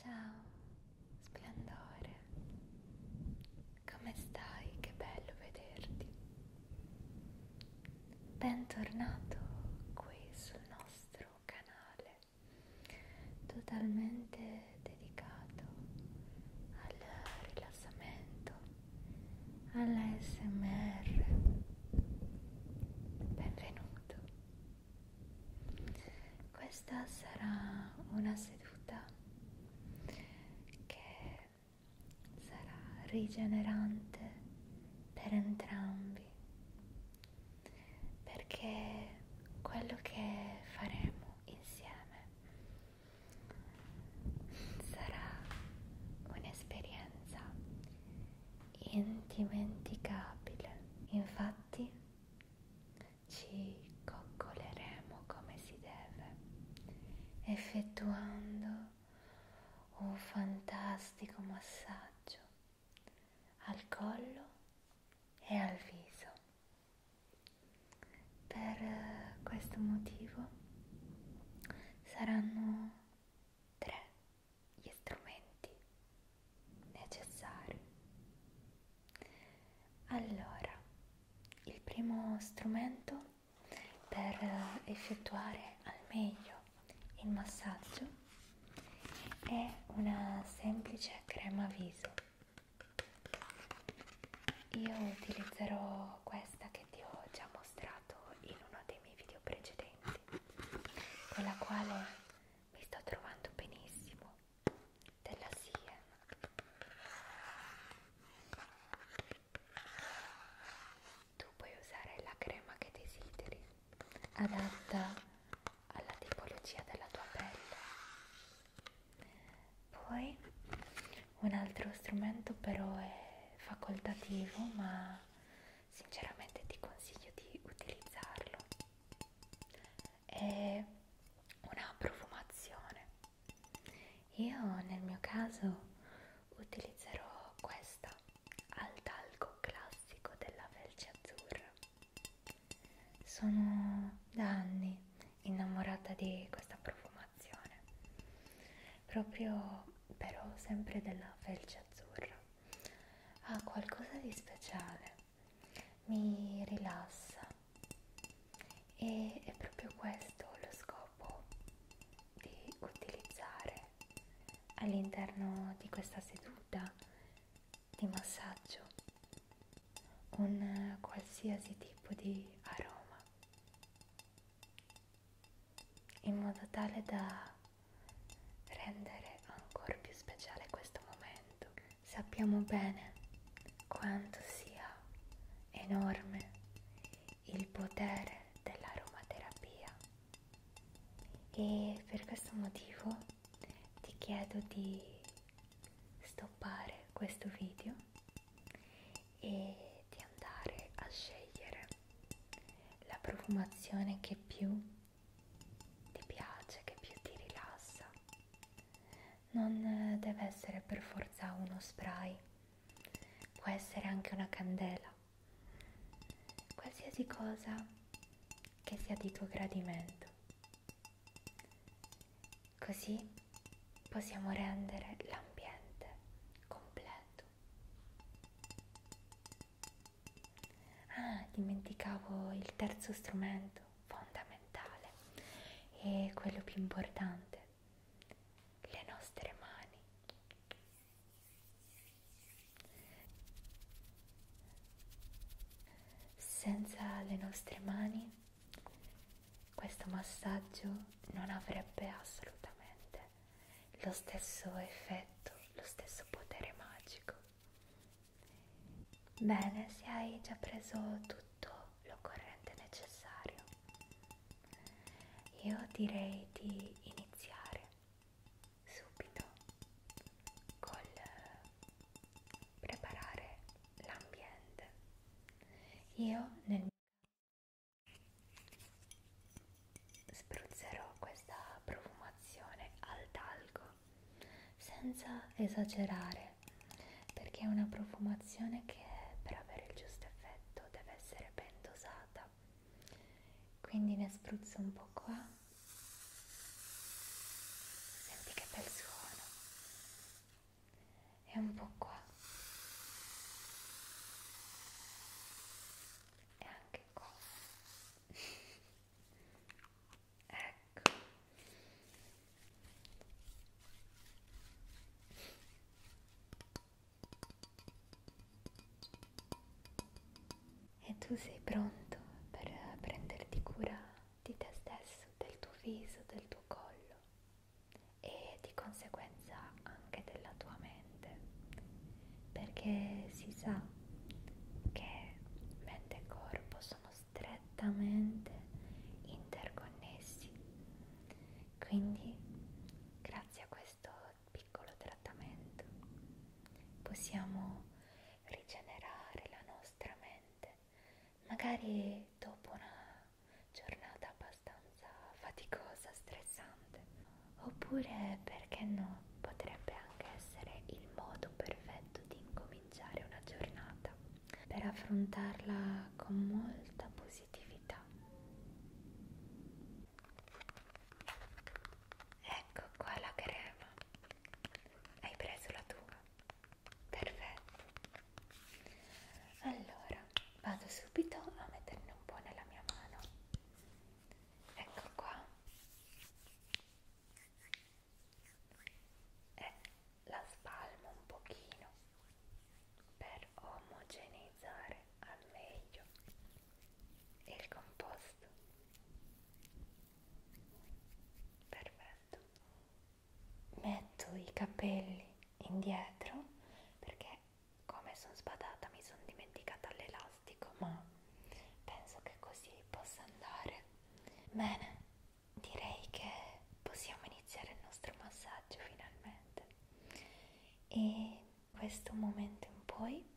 Ciao, splendore. Come stai? Che bello vederti. Bentornato qui sul nostro canale, totalmente dedicato al rilassamento, all'ASMR. Benvenuto. Questa sarà una seduta che sarà rigenerante per entrambi perché quello che faremo insieme sarà un'esperienza indimenticabile. Infatti ci coccoleremo come si deve, effettuando un fantastico massaggio al collo e al viso. Per eh, questo motivo saranno tre gli strumenti necessari. Allora, il primo strumento per effettuare al meglio il massaggio è una semplice crema viso. Io utilizzerò questa che ti ho già mostrato in uno dei miei video precedenti con la quale mi sto trovando benissimo della SIE tu puoi usare la crema che desideri adatta alla tipologia della tua pelle poi un altro strumento però è facoltativo ma sinceramente ti consiglio di utilizzarlo è una profumazione io nel mio caso utilizzerò questa al talco classico della felce azzurra sono da anni innamorata di questa profumazione proprio però sempre della felce azzurra ha ah, qualcosa di speciale, mi rilassa e è proprio questo lo scopo di utilizzare all'interno di questa seduta di massaggio un qualsiasi tipo di aroma in modo tale da rendere ancora più speciale questo momento. Sappiamo bene quanto sia enorme il potere dell'aromaterapia e per questo motivo ti chiedo di stoppare questo video e di andare a scegliere la profumazione che più ti piace, che più ti rilassa. Non eh, deve essere per forza uno spray, può essere anche una candela, qualsiasi cosa che sia di tuo gradimento. Così possiamo rendere l'ambiente completo Ah, dimenticavo il terzo strumento fondamentale e quello più importante, le nostre mani. Senza le nostre mani questo massaggio non avrebbe assolutamente lo stesso effetto, lo stesso potere magico. Bene, se hai già preso tutto l'occorrente necessario, io direi di iniziare subito col preparare l'ambiente. Io nel Spruzzerò questa profumazione al talco senza esagerare perché è una profumazione che per avere il giusto effetto deve essere ben dosata. Quindi ne spruzzo un po' qua. Senti che bel suono. E un po' qua e anche qua ecco e tu sei pronto per prenderti cura di te stesso, del tuo viso, del tuo collo e di conseguenza anche della tua mente, perché si sa che mente e corpo sono strettamente interconnessi. Quindi, grazie a questo piccolo trattamento, possiamo rigenerare la nostra mente, magari dopo una giornata abbastanza faticosa, stressante. Oppure, perché no, potrebbe anche essere il modo perfetto di incominciare una giornata per affrontarla con molta positività. Ecco qua la crema. Hai preso la tua? Perfetto allora vado subito a metterne un po' nella mia mano ecco qua e la spalmo un pochino per omogeneizzare al meglio il composto perfetto metto i capelli indietro perché come sono sbadata mi sono dimenticata l'elastico ma penso che così possa andare bene direi che possiamo iniziare il nostro massaggio finalmente e in questo momento in poi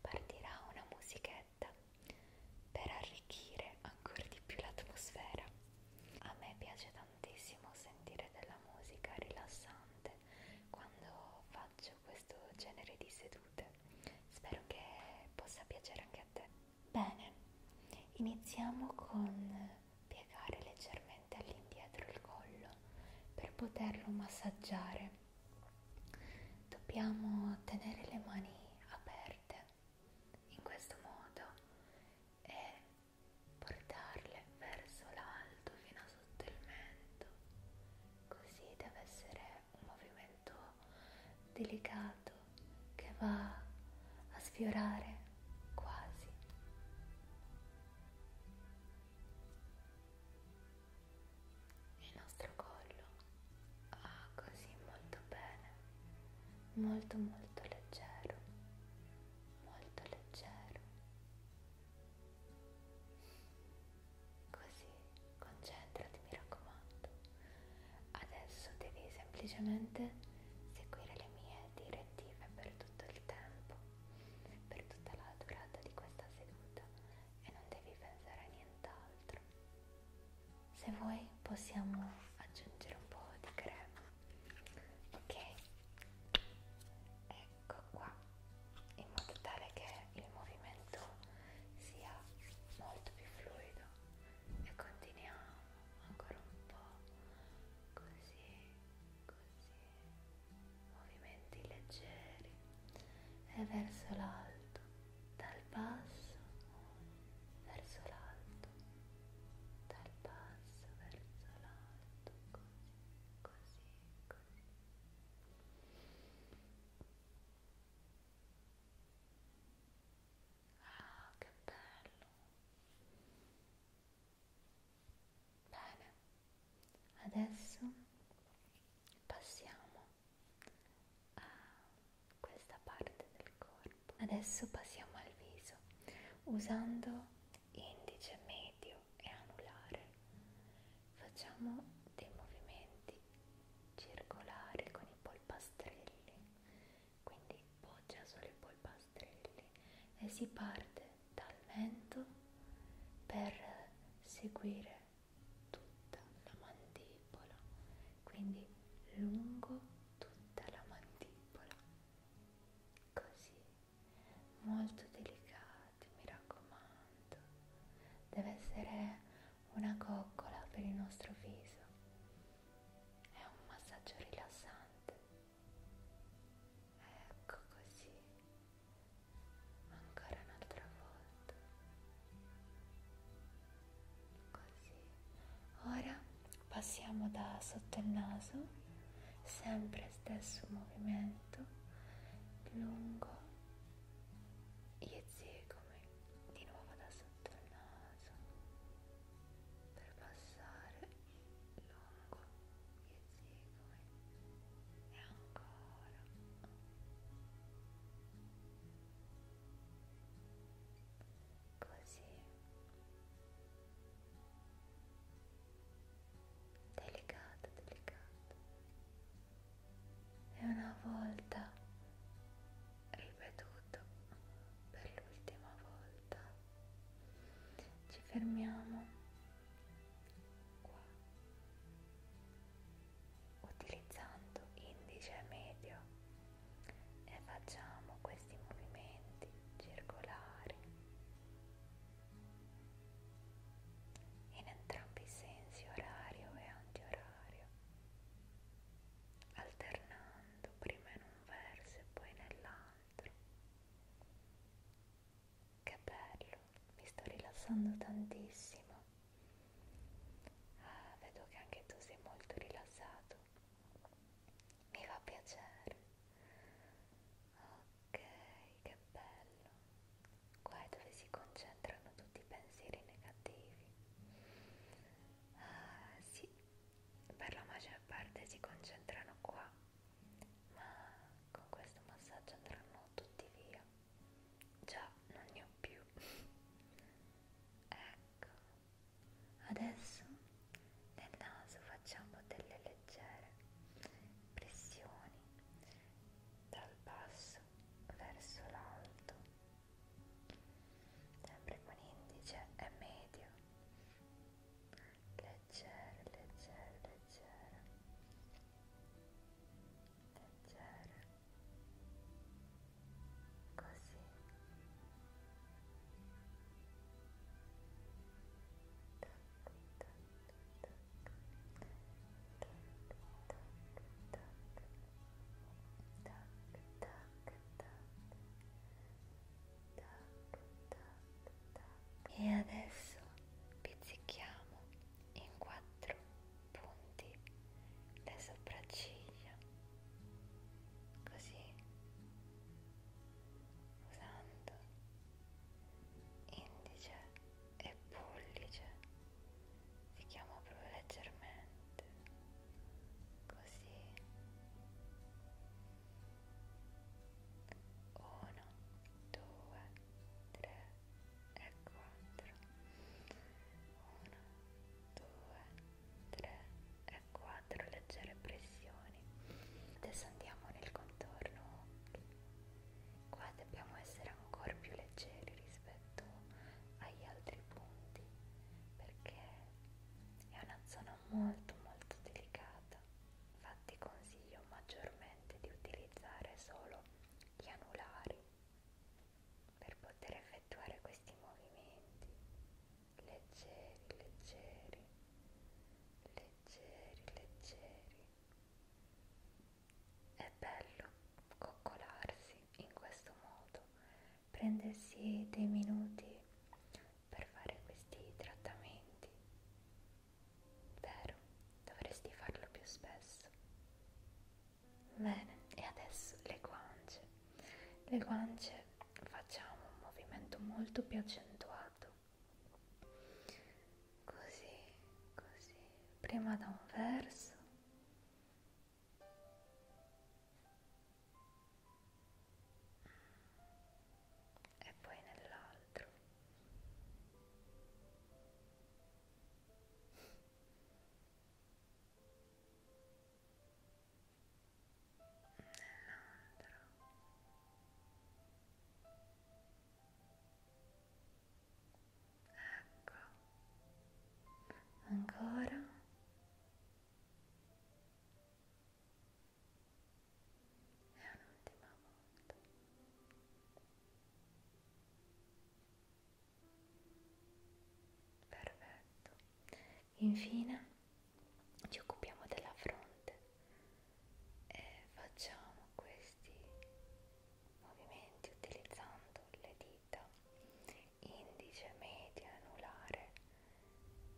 partirà una musichetta per arricchire ancora di più l'atmosfera a me piace tanto tantissimo sentire della musica rilassante quando faccio questo genere di sedute. Spero che possa piacere anche a te. Bene, iniziamo con piegare leggermente all'indietro il collo per poterlo massaggiare. Dobbiamo tenere le mani aperte in questo modo e portarle verso l'alto fino a sotto il mento, così deve essere un movimento delicato che va a sfiorare quasi. Il nostro collo va così molto bene, molto molto leggero molto leggero. Così, concentrati, mi raccomando. Adesso devi semplicemente seguire le mie direttive per tutto il tempo, per tutta la durata di questa seduta e non devi pensare a nient'altro. Se vuoi possiamo aggiungere un po' di crema ok ecco qua in modo tale che il movimento sia molto più fluido e continuiamo ancora un po' così così movimenti leggeri e verso l'alto dal basso verso l'alto dal basso verso l'alto, così, così, così. Ah, che bello! Bene, adesso passiamo a questa parte del corpo Adesso passiamo al viso usando indice medio e anulare. Facciamo dei movimenti circolari con i polpastrelli, quindi poggia solo i polpastrelli e si parte dal mento per seguire tutta la mandibola quindi lungo tutta la mandibola così molto delicati mi raccomando deve essere una coccola per il nostro viso è un massaggio rilassante ecco così ancora un'altra volta così ora passiamo da sotto il naso sempre stesso movimento lungo gli ezigomi di nuovo da sotto il naso per passare lungo gli ezigomi e ancora così delicato delicato e una volta ripetuto per l'ultima volta ci fermiamo qua utilizzando indice medio e facciamo questi movimenti circolari in entrambi i sensi, orario e antiorario, alternando prima in un verso e poi nell'altro. Che bello, mi sto rilassando tantissimo. Ah, vedo che anche tu sei molto rilassato mi fa piacere ok che bello qua è dove si concentrano tutti i pensieri negativi ah sì per la maggior parte si concentrano qua ma con questo massaggio andranno tutti via già non ne ho più ecco Adesso nel naso facciamo delle leggere pressioni dal basso verso l'alto, sempre con indice e medio, leggere, leggere, leggere, leggere così tac, tac, tac, tac, tac, tac, tac. e adesso pizzichiamo in quattro punti le sopracciglia così usando indice e pollice si chiama proprio leggermente così uno due tre e quattro uno 2, 3 e 4 leggere pressioni. Adesso andiamo nel contorno occhi. Qua dobbiamo essere ancora più leggeri rispetto agli altri punti perché è una zona molto molto delicata. Infatti consiglio maggiormente di utilizzare solo gli anulari per poter effettuare questi movimenti leggeri, leggeri, leggeri, leggeri. È bello coccolarsi in questo modo, prendersi dei minuti per fare questi trattamenti. Vero, dovresti farlo più spesso. Bene, e adesso le guance. Le guance facciamo un movimento molto più accentuato. Così, così. Prima da un verso. E poi nell'altro ecco ancora e un'ultima volta perfetto infine ci occupiamo della fronte e facciamo questi movimenti utilizzando le dita indice, media, anulare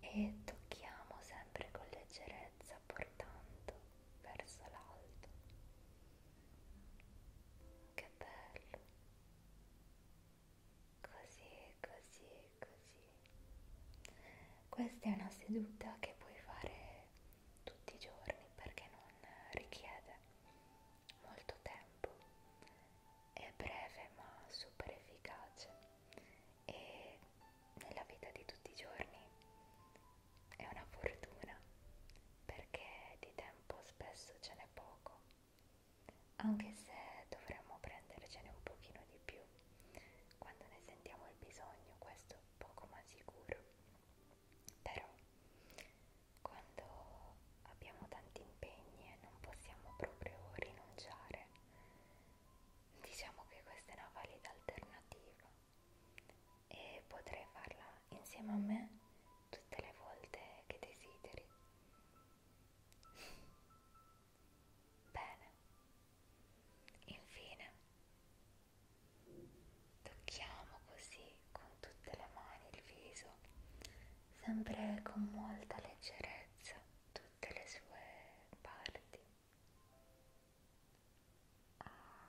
e tocchiamo sempre con leggerezza portando verso l'alto che bello così così così questa è una seduta che puoi fare tutti i giorni perché non richiede molto tempo è breve ma super efficace e nella vita di tutti i giorni è una fortuna perché di tempo spesso ce n'è poco, anche se dovremmo prendercene un pochino di più quando ne sentiamo il bisogno, questo poco ma sicuro. Però quando abbiamo tanti impegni e non possiamo proprio rinunciare, diciamo che questa è una valida alternativa e potrai farla insieme a me tutte le volte che desideri. Bene, infine tocchiamo così con tutte le mani il viso, sempre con molta leggerezza tutte le sue parti. Ah.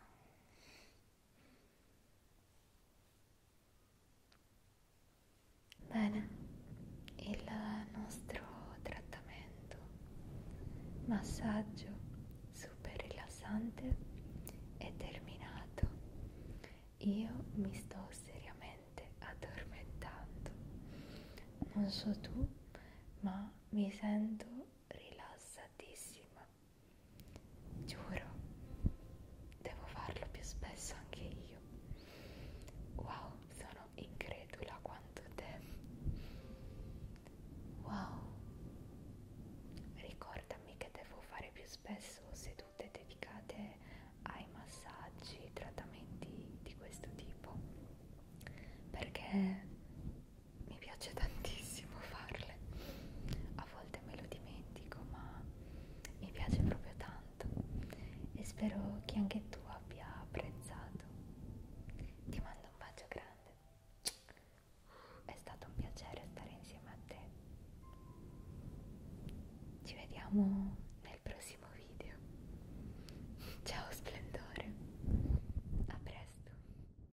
Bene, il nostro trattamento massaggio super rilassante è terminato. Io mi sto seriamente addormentando. Non so tu, ma mi sento rilassatissima. Giuro, devo farlo più spesso anche io. Wow, sono incredula quanto te. Wow, ricordami che devo fare più spesso sedute dedicate ai massaggi, trattamenti di questo tipo perché mi piace tantissimo farle a volte me lo dimentico ma mi piace proprio tanto e spero che anche tu abbia apprezzato ti mando un bacio grande è stato un piacere stare insieme a te ci vediamo nel prossimo video ciao splendore a presto